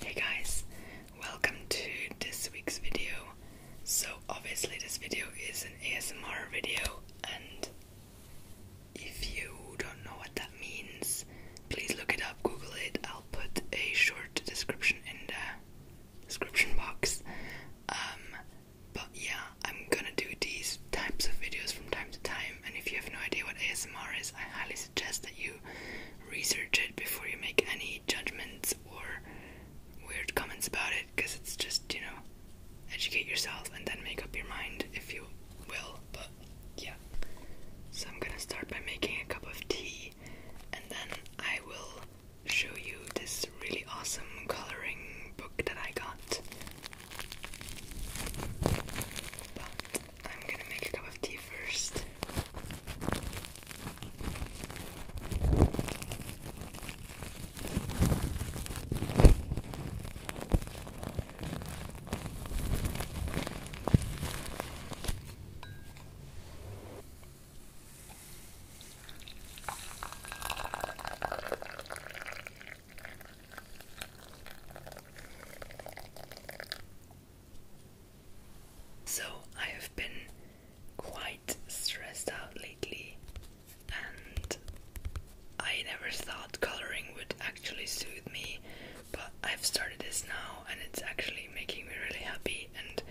Hey guys, welcome to this week's video. So, obviously, this video is an ASMR video, and if you don't know what that means, please look it up, Google it. I'll put a short description in the description box. Um, but yeah, I'm gonna do these types of videos from time to time, and if you have no idea what ASMR is, I highly suggest that you research it before you make any judgments or weird comments about it because it's just, you know, educate yourself and then make up your mind if you will. But yeah. So I'm gonna start by making a cup of tea and then I will show you this really awesome coloring book that I got. I'm gonna make a cup of tea first. So, I have been quite stressed out lately, and I never thought coloring would actually soothe me, but I've started this now, and it's actually making me really happy and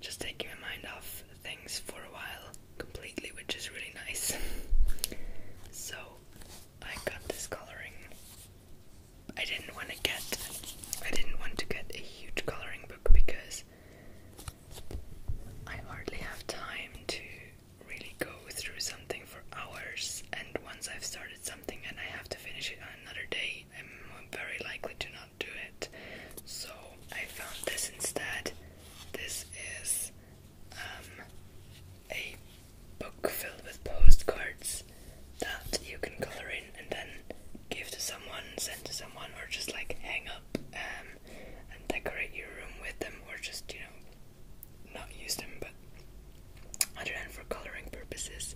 just taking my mind off things for a while completely, which is really nice. so, I got this coloring I didn't want to get I didn't want to get a huge coloring book because I hardly have time to really go through something for hours and once I've started something and I have to finish it another day I'm very likely to not do it so I found this instead this is um, a book filled with postcards that you can color in and then give to someone, send to someone, or just like hang up um, and decorate your room with them, or just you know not use them, but other for coloring purposes.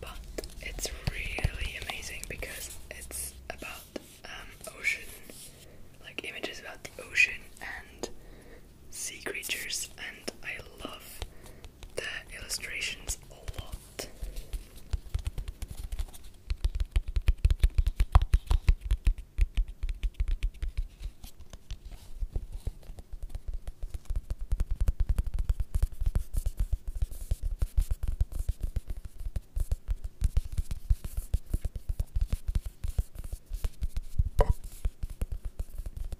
But it's really amazing because it's about um, ocean, like images about the ocean and sea creatures, and I love the illustrations a lot.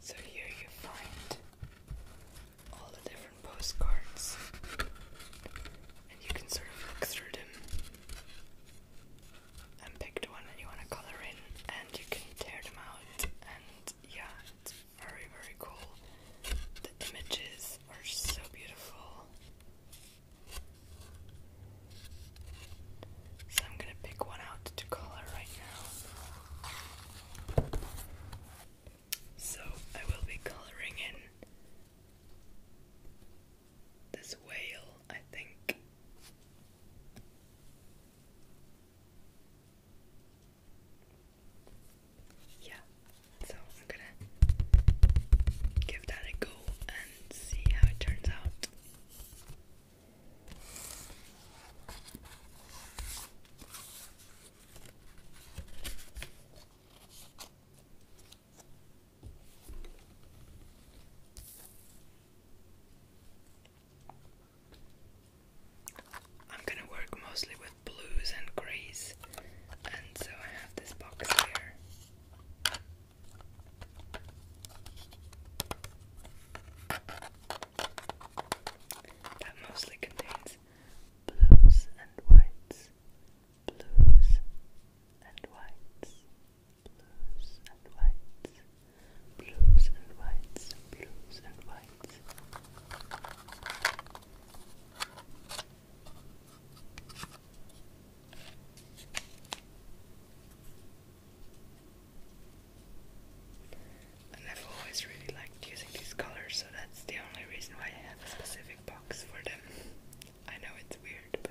So here you find all the different postcards, and you can sort of look through them and pick the one that you want to color in, and you can tear them out. And yeah, it's very, very cool. The images are so beautiful. So I'm gonna pick one out to color right now. So I will be coloring in this whale, I think. Yeah, so I'm gonna give that a go and see how it turns out. I'm gonna work mostly with blues and greys, and so I have this box here. That mostly contains blues and whites blues and whites, blues and whites, blues and whites, blues and whites. I've always really liked using these colors, so that's the only reason why I have a specific box for them. I know it's weird, but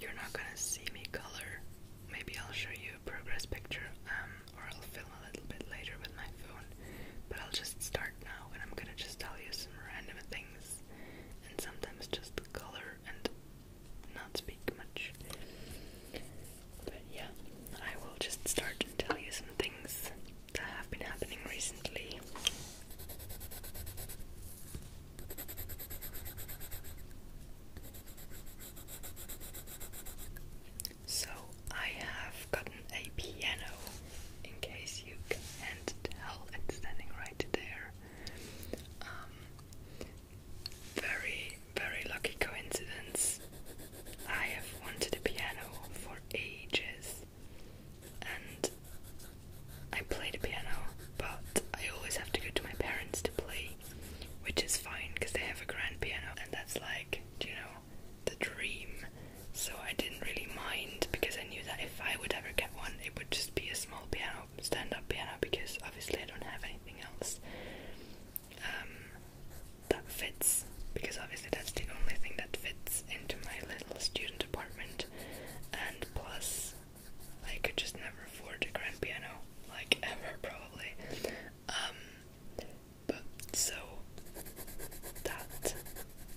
You're not gonna see me color. Maybe I'll show you a progress picture, um, or I'll film a little bit later with my phone. But I'll just start now, and I'm gonna just tell you some random things, and sometimes just color and not speak much. But yeah, I will just start to tell you some things that have been happening recently. So, I have gotten a piano, in case you can't tell, it's standing right there. Um, very, very lucky coincidence. I have wanted a piano for ages and I play the piano, but I always have to go to my parents to play, which is fine because they have a grand piano, and that's like, you know, the dream. So I didn't really mind because I knew that if I would ever get one, it would just be a small piano, stand up piano, because obviously I don't have anything else um, that fits because obviously that's the only thing that fits into my little student apartment and plus I could just never afford a grand piano like ever probably um but so that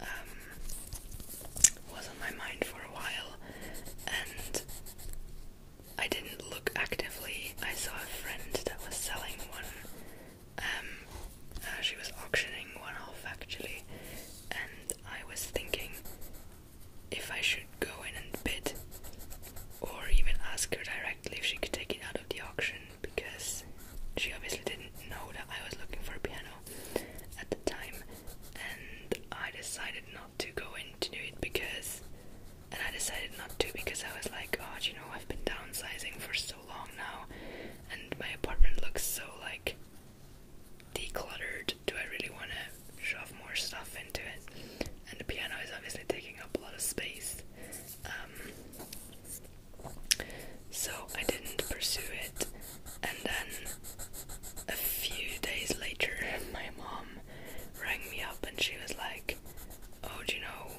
um was on my mind for a while and I didn't look actively I saw a friend that was selling one um, uh, she was auctioning one off actually, and I was thinking if I should go in and bid, or even ask her directly if she could take it out of the auction because she obviously didn't know that I was looking for a piano at the time, and I decided not to go in to do it because. And I decided not to because I was like, God, oh, you know, I've been downsizing for so long now, and my apartment looks so like decluttered. Do I really want to shove more stuff into it? And the piano is obviously taking up a lot of space. Um, so I didn't pursue it, and then a few days later, my mom rang me up and she was like, Oh, do you know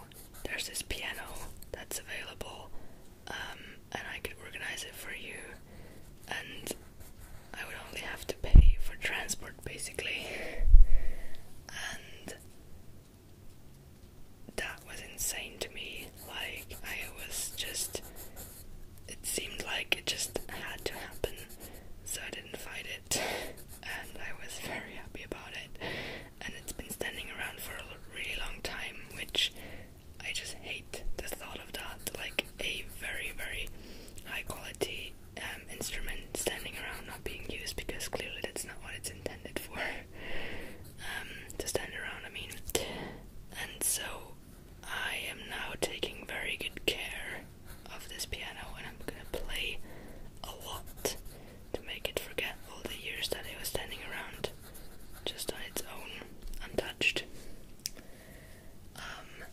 there's this piano that's available, um, and I could organize it for you, and I would only have to pay for transport basically. And that was insane to me. Like, I was just. It seemed like it just had to happen, so I didn't fight it, and I was very happy about it and it's been standing around for a really long time, which I just hate the thought of that. Like a very, very high quality um, instrument standing around not being used because clearly that's not what it's intended for. Um, to stand around, I mean. And so I am now taking very good care of this piano and I'm gonna play a lot to make it forget all the years that it was standing around just on its own, untouched. Um,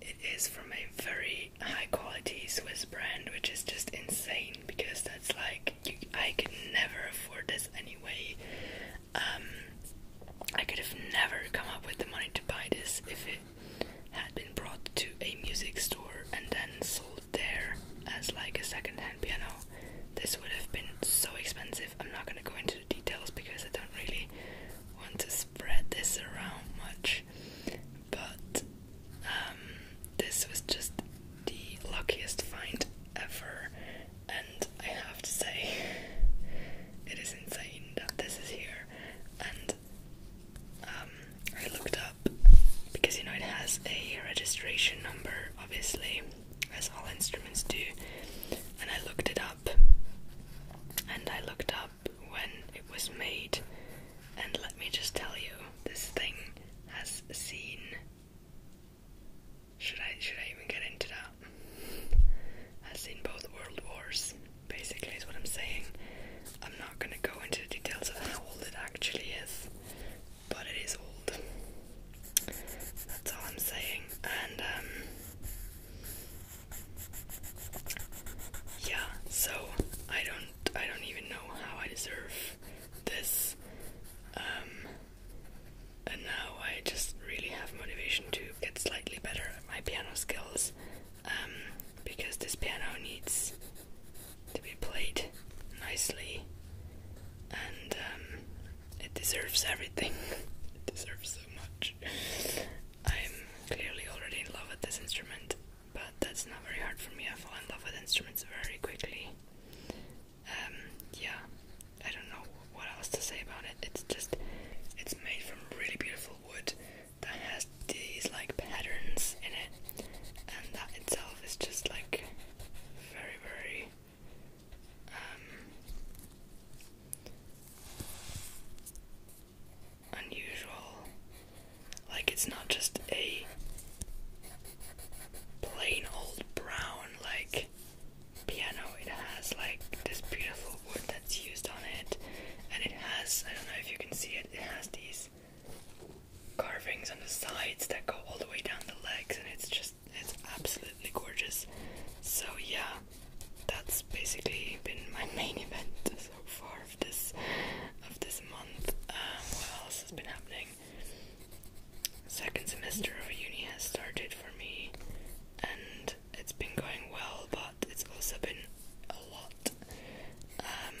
it is from a very high quality Swiss brand, which is just insane because that's like I could never afford this anyway. Um, I could have never come up with the money to buy this if it had been brought to a music store and then sold there as like a 2nd piano. This would have been so expensive. I'm not going to go into the details because I don't really want to spread this around much. But um, this was just the luckiest find ever, and I have to say, it is insane that this is here. And um, I looked up because you know it has a registration number, obviously, as all instruments do. And I looked it up, and I looked up when it was made. And let me just tell you, this thing has seen. Should I should I even get into that? Has seen both world wars. Basically, is what I'm saying. I'm not gonna go into the details of how old it actually is but it is old. That's all I'm saying. And um, yeah, so I don't I don't even know how I deserve this. Um and now I just really have motivation to get slightly better at my piano skills. Um because this piano needs to be played nicely, and um, it deserves everything. it deserves so much. I'm clearly already in love with this instrument, but that's not very hard for me. I fall in love with instruments very quickly. Um, yeah, I don't know what else to say about it. It's just, it's made from really beautiful wood that has these like patterns in it, and that itself is just like very, very um, unusual. Like, it's not just a plain old brown, like, piano. It has, like, this beautiful wood that's used on it, and it has, I don't know if you can see it, it has these carvings on the sides that go all the way down the legs, and it's just it's absolutely gorgeous. So yeah, that's basically been my main event so far of this of this month. Um, what else has been happening? Second semester of uni has started for me, and it's been going well, but it's also been a lot. Um,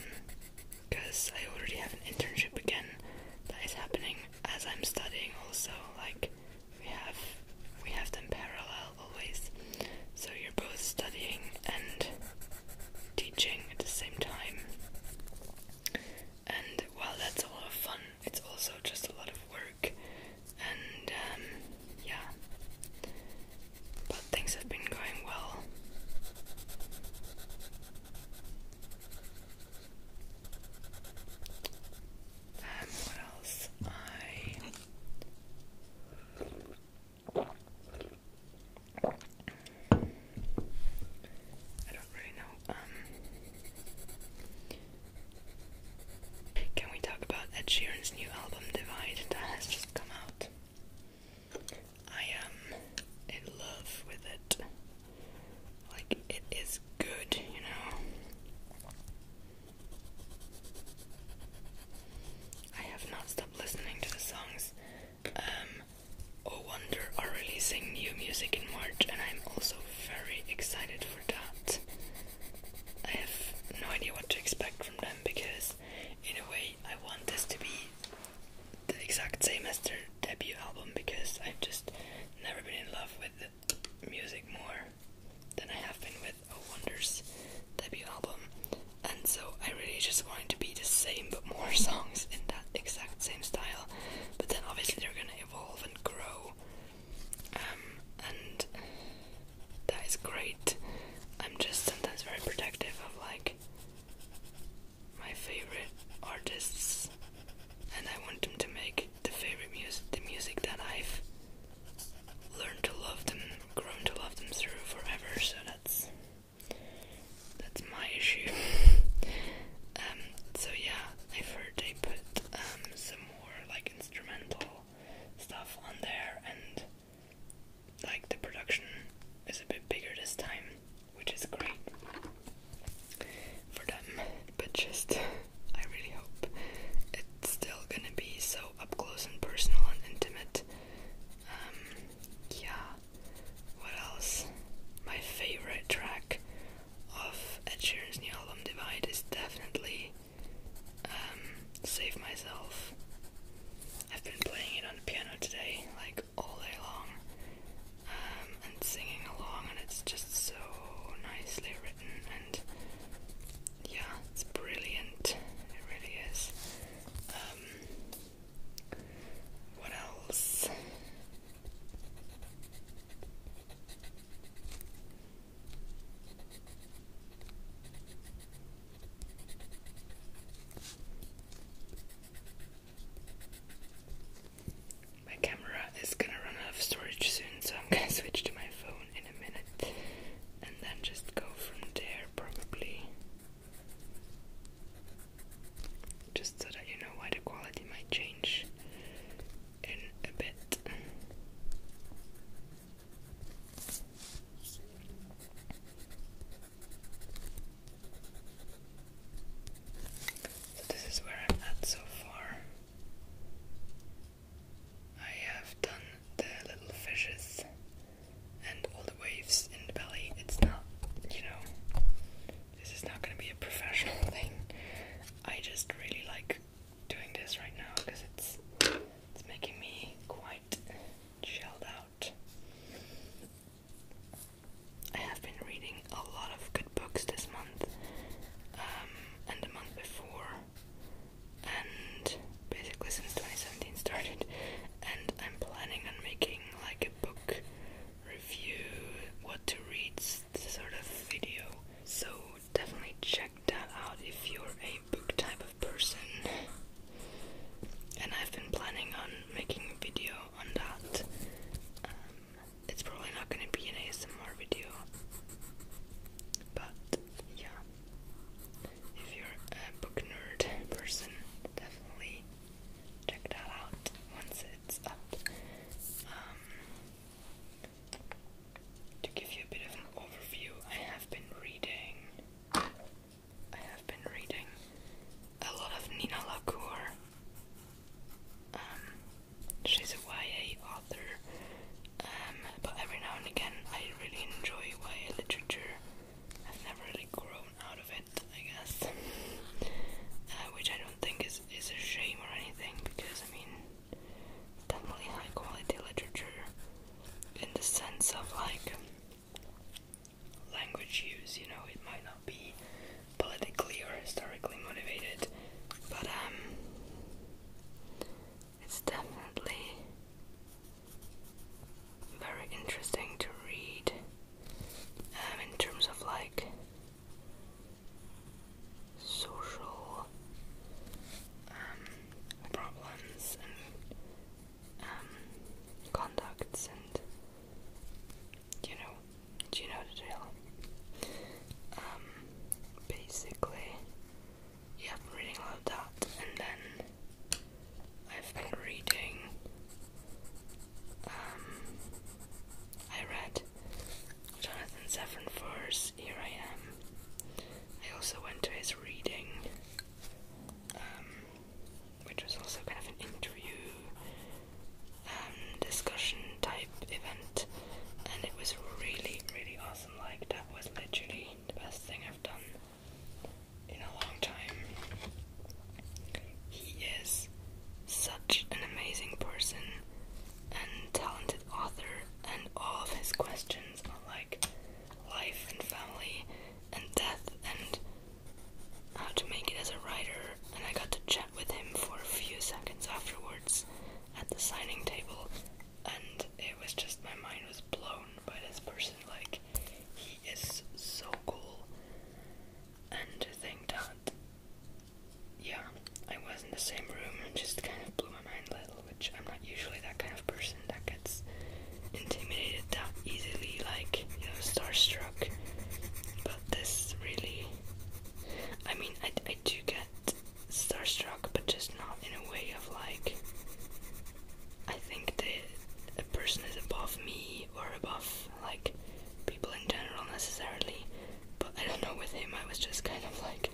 because I already have an internship again that is happening as I'm studying also like we have we have them parallel always so you're both studying and teaching at the same time and while that's a lot of fun it's also just a lot of work and um, yeah but things have been going well um, what else? I I don't really know. Um, can we talk about Ed Sheeran's new album, Divide, that has just come out? I am in love with it. Like, it is good, you know? I have not stopped listening to the songs. Um, Oh Wonder are releasing new music in March, and I'm also very excited for that. I have no idea what to expect from them because, in a way, I want this to be the exact same as their debut album because I've just never been in love with music more than I have been with Oh Wonder's debut album. And so I really just wanted to be the same but more songs in that exact same style. But then obviously they're gonna evolve and grow. Um, and that is great. I'm just sometimes very protective of like my favorite artists and I want them to make the favorite music the music that I've learned to love them, grown to love them through forever, so that's that's my issue. Um, so yeah, I've heard they put um, some more like instrumental stuff on there and like the production is a bit bigger this time which is great for them. But just, I really hope it's still gonna be so up close and personal and intimate. Um, yeah. What else? My favorite track of Ed Sheeran's new album Divide is definitely um, Save Myself. I've been playing it on the piano today, like all day long, um, and singing along, and it's just so nicely written, and yeah, it's brilliant. It really is. Um, what else? My camera is gonna run out of storage soon, so I'm gonna switch to my phone in a minute and then just go from there, probably. Just so that you know why the quality might change in a bit. So this is where I'm at so far. I have done the little fishes and all the waves in the belly. It's not, you know, this is not going to be a professional thing. I just really like doing this right now because it's it's making me quite chilled out. I have been reading a lot of good books this month um, and the month before, and basically since 2017 started. And I'm planning on making like a book review, what to read sort of video. So definitely check that out if you're a book type of person. And I've been planning on making a video on that. Um, it's probably not going to be an ASMR video, but yeah, if you're a book nerd person, definitely check that out once it's up. Um, to give you a bit of an overview, I have been reading I have been reading a lot of Nina Lacour. Um, she's a YA author, um, but every now and again I really enjoy YA literature. I've never really grown out of it, I guess, uh, which I don't think is, is a shame or anything because I mean, definitely high quality literature in the sense of like language use, you know, it might not be politically or historically motivated, but um, it's definitely very interesting to read um, in terms of like social um, problems um, conducts and you know, do you know the drill? Um, basically, yeah, I've been of that, and then I've been reading. Um, I read Jonathan Safran Foer's Here I Am. I also went to his reading. Um, which was also kind of an interview um, discussion type event, and it was really, really awesome. Like, that was literally the best thing I've done in a long time. He is such an amazing person and talented author, and all of his questions are like life and family and death and how to make it as a writer, and I got to chat with him for a few seconds afterwards at the signing table, and it was just my mind was blown by this person. Like, he is so cool, and to think that, yeah, I was in the same room and just kind of blew my mind a little, which I'm not usually that kind of person that gets intimidated that easily, like, starstruck. But this really. I mean, I, do get starstruck, but just not in a way of like. I think that a person is above me or above, like, people in general necessarily. But I don't know, with him, I was just kind of like,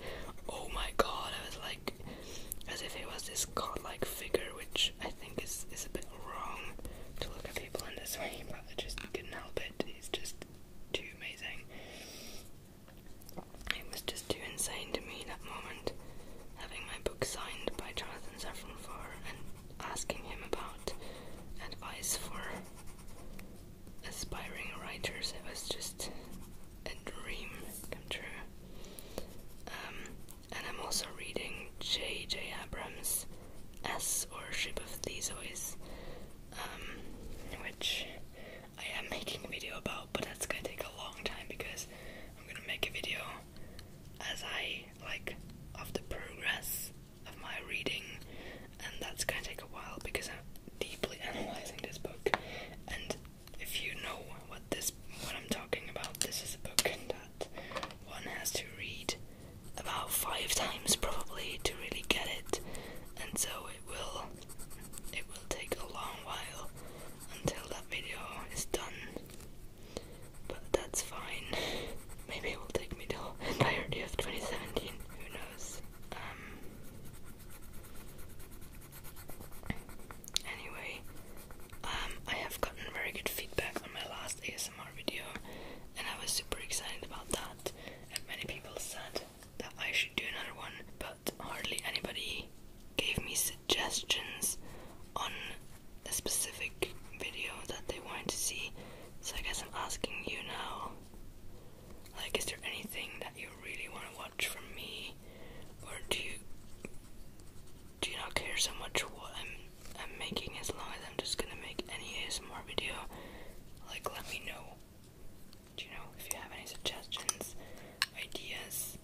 oh my god, I was like, as if he was this godlike figure, which I think think a bit wrong to look at people in this way, but I just couldn't help it. It's just too amazing. It was just too insane to me that moment, having my book signed by Jonathan Safran Foer and asking him about advice for aspiring writers. It was just a dream come true. Um, and I'm also reading J.J. Abrams' S or Ship of Theseus, um, which I am making a video about, but that's gonna take a long time because I'm gonna make a video as I like of the progress of my reading, and that's gonna take a while because I'm deeply analyzing this book. And if you know what this what I'm talking about, this is a book that one has to read about five times probably to really get it, and so it will it will take a long while until that video is done. But that's fine. Maybe it will take me the entirety of 2017. Who knows? Um, anyway, um, I have gotten very good feedback on my last ASMR ASMR video, and I was super excited about that. And many people said that I should do another one, but hardly anybody gave me suggestions on a specific video that they wanted to see. So I guess I'm asking you now like, is there anything that you really want to watch from me, or do you do you not care so much what I'm making as long as I'm just gonna make any ASMR video. Like let me know. you know if you have any suggestions, ideas?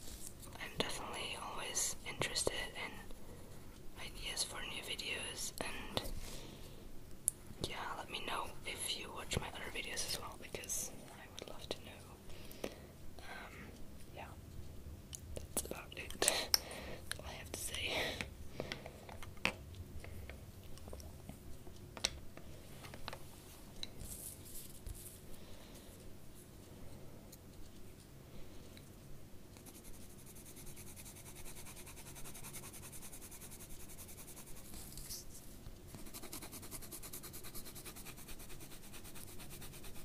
I'm definitely always interested in ideas for new videos and yeah, let me know if you watch my other videos as well because I would love to know. Um, yeah that's about it. all I have to say.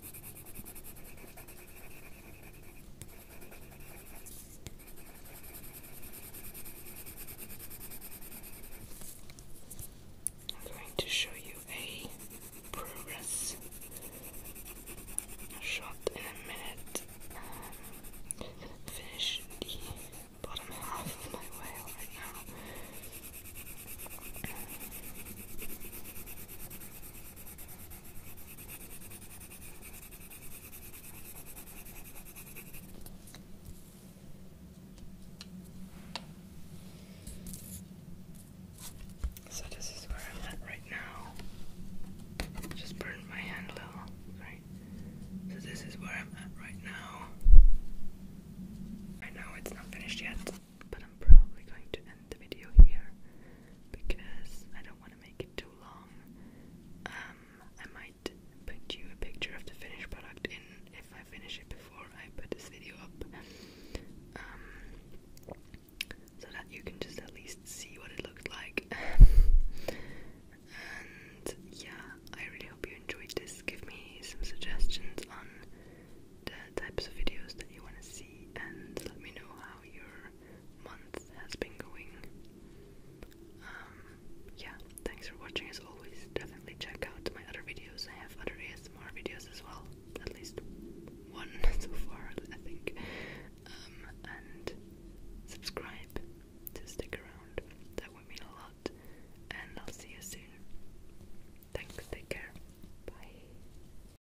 I'm going to show you a progress shot in a minute. Um, finish the bottom half of my whale right now. So this is where I'm at right now. Just burned my hand a little. So this is where I'm at right now. Right now it's not finished yet but I'm probably going to end the video here because I don't want to make it too long. Um, I might put you a picture of the finished product in if I finish it before I put this video up, um, so that you can just at least see what it looked like. and yeah, I really hope you enjoyed this. Give me some suggestions on the types of videos that you want to see and let me know how you're month has been going. Um, yeah, thanks for watching as always. Definitely check out my other videos. I have other ASMR videos as well. At least one so far, I think. Um, and subscribe to stick around. That would mean a lot. And I'll see you soon. Thanks, take care. Bye.